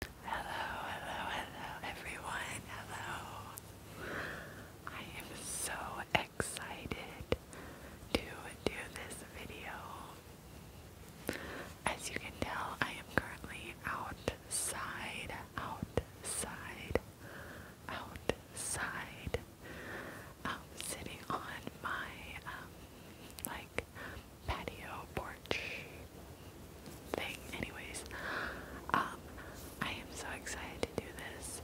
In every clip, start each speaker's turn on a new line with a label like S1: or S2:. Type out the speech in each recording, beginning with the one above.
S1: Hello, hello, hello, everyone. Hello. I am so excited to do this video. As you can tell, I am currently outside, outside, outside. Um, sitting on my um, like patio porch thing. Anyways, um, I am so excited to do this.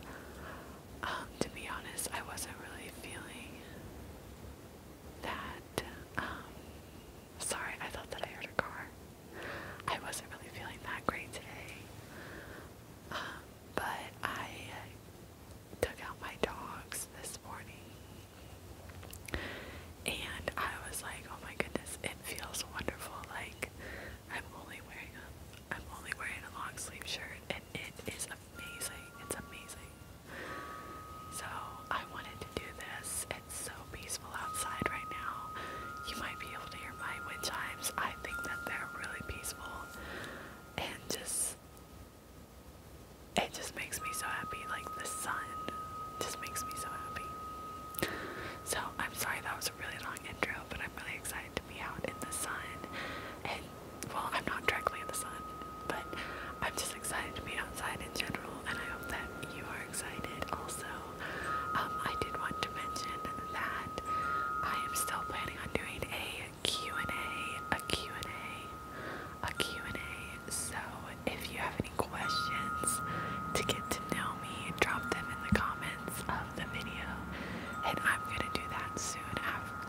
S1: Um, to be honest, I wasn't really feeling that. Um, sorry, I thought that I heard a car. I wasn't really feeling that great today. but I took out my dogs this morning and I was like, oh my goodness, it feels wonderful. Like, I'm only wearing a, I'm only wearing a long sleeve shirt, and it is amazing. It's amazing. So I wanted to do this. It's so peaceful outside right now. You might be able to hear my wind chimes. I think that they're really peaceful, and just it just makes me so happy. Like the sun just makes me so happy. So I'm sorry that was a really long intro, but I'm really excited to be out in the sun. And well, I'm not directly in the sun, but I'm just excited to be outside in general, and I hope that you are excited also. Um, I did want to mention that I am still planning on doing a Q&A, a Q&A, a Q&A, so if you have any questions to get to know me, drop them in the comments of the video. And I'm gonna do that soon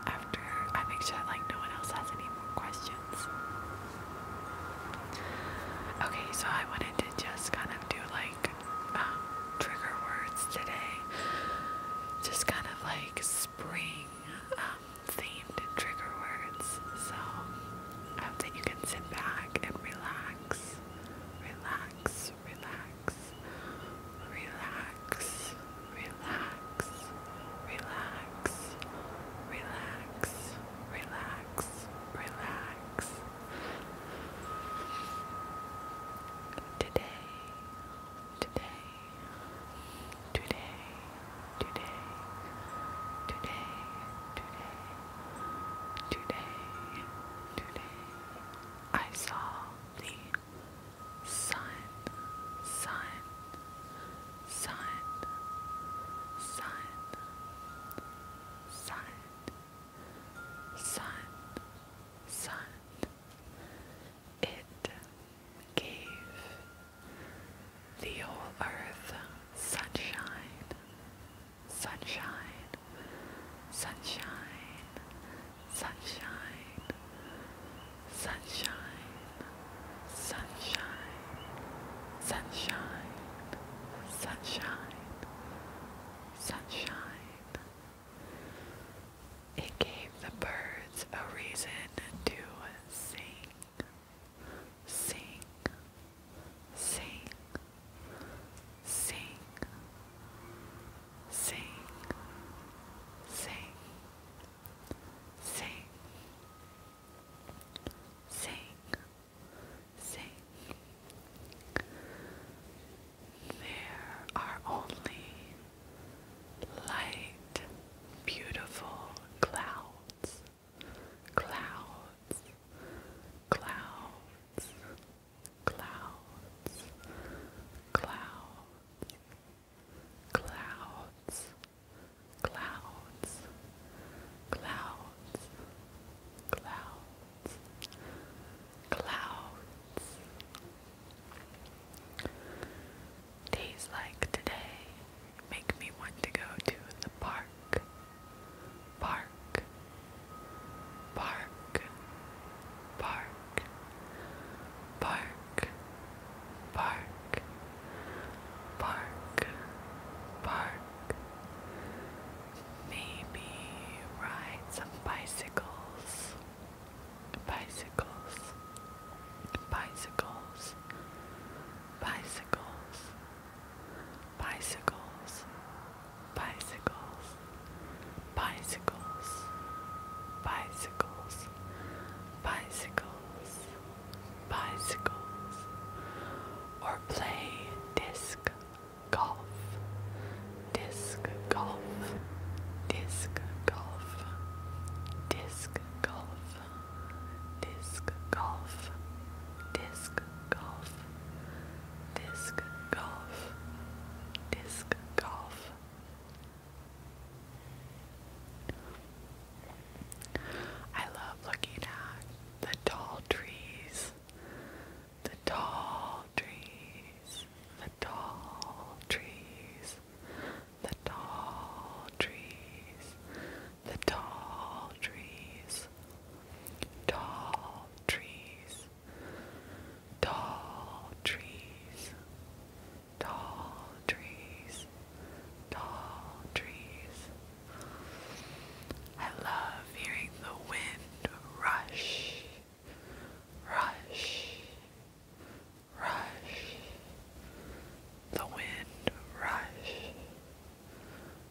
S1: after I make sure that like no one else has any more questions. Okay, so I wanted to just kind of do like um, trigger words today, just kind of like spring um, themed trigger words. So I um, hope that you can sit back and relax, relax, relax, relax, relax, relax, relax, relax, relax. Today, today, today, today, today, today. Today, today, I saw the sun, sun, sun, sun, sun, sun, sun. It gave the whole earth sunshine sunshine, sunshine, sunshine, sunshine, sunshine, sunshine, sunshine, sunshine. It gave the birds a reason to sing sing, sing, sing, sing, sing, sing, sing, sing. There are only light, beautiful clouds clouds, clouds, clouds, clouds, clouds, clouds, clouds, clouds, clouds. Days like today make me want to go to the park Bark, bark, bark, bark, bark, bark, bark. Maybe ride some bicycles, bicycles, bicycles, bicycles bicycles, bicycles, bicycles, bicycles, bicycles, bicycles, or play disc golf, disc golf, disc golf, disc golf, disc golf, disc golf disc golf, disc golf. I love looking at the tall trees, the tall trees, the tall trees, the tall trees, the tall trees. The tall trees Tall trees, tall trees, tall trees, tall trees. I love hearing the wind rush, rush, rush. The wind rush,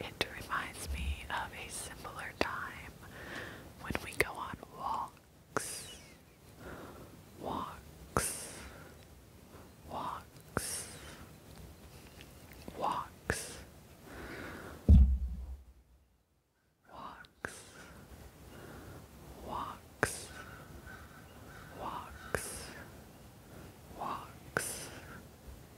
S1: it reminds me of a simpler time when we go on walks, walks, walks, walks, walks, walks, walks, walks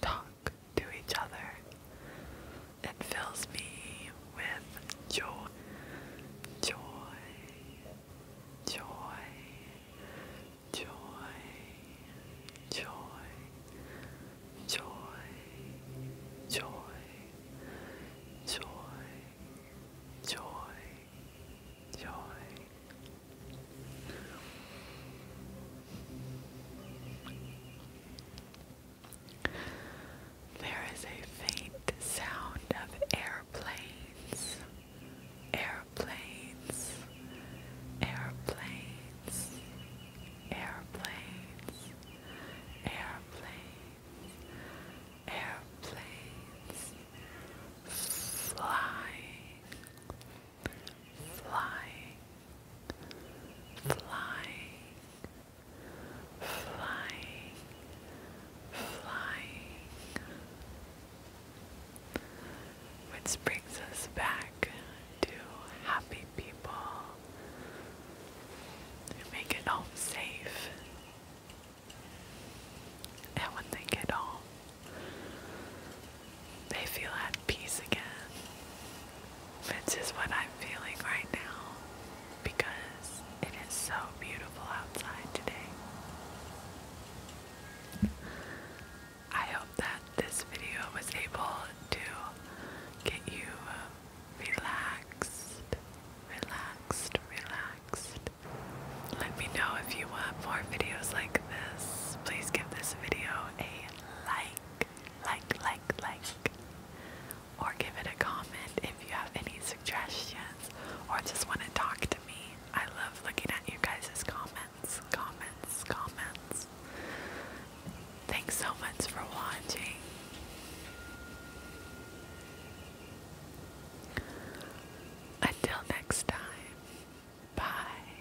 S1: talk to each other. It fills me with joy, joy, joy, joy, joy, joy, joy, joy, joy, joy. There is a faint sound of airplanes, airplanes, airplanes, airplanes, airplanes, airplanes, flying flying, flying, flying, flying. Which brings us back to happy people who make it home safe. And when they get home, they feel at peace again. This is what I'm feeling right now because it is so beautiful outside today. I hope that this video was able to get you relaxed, relaxed, relaxed. Let me know if you want more videos like this. Please give this video a like like, like, like, or give it a comment if you have any suggestions or just want to talk to me. I love looking at you guys' comments, comments, comments. Thanks so much for watching. Until next time, bye.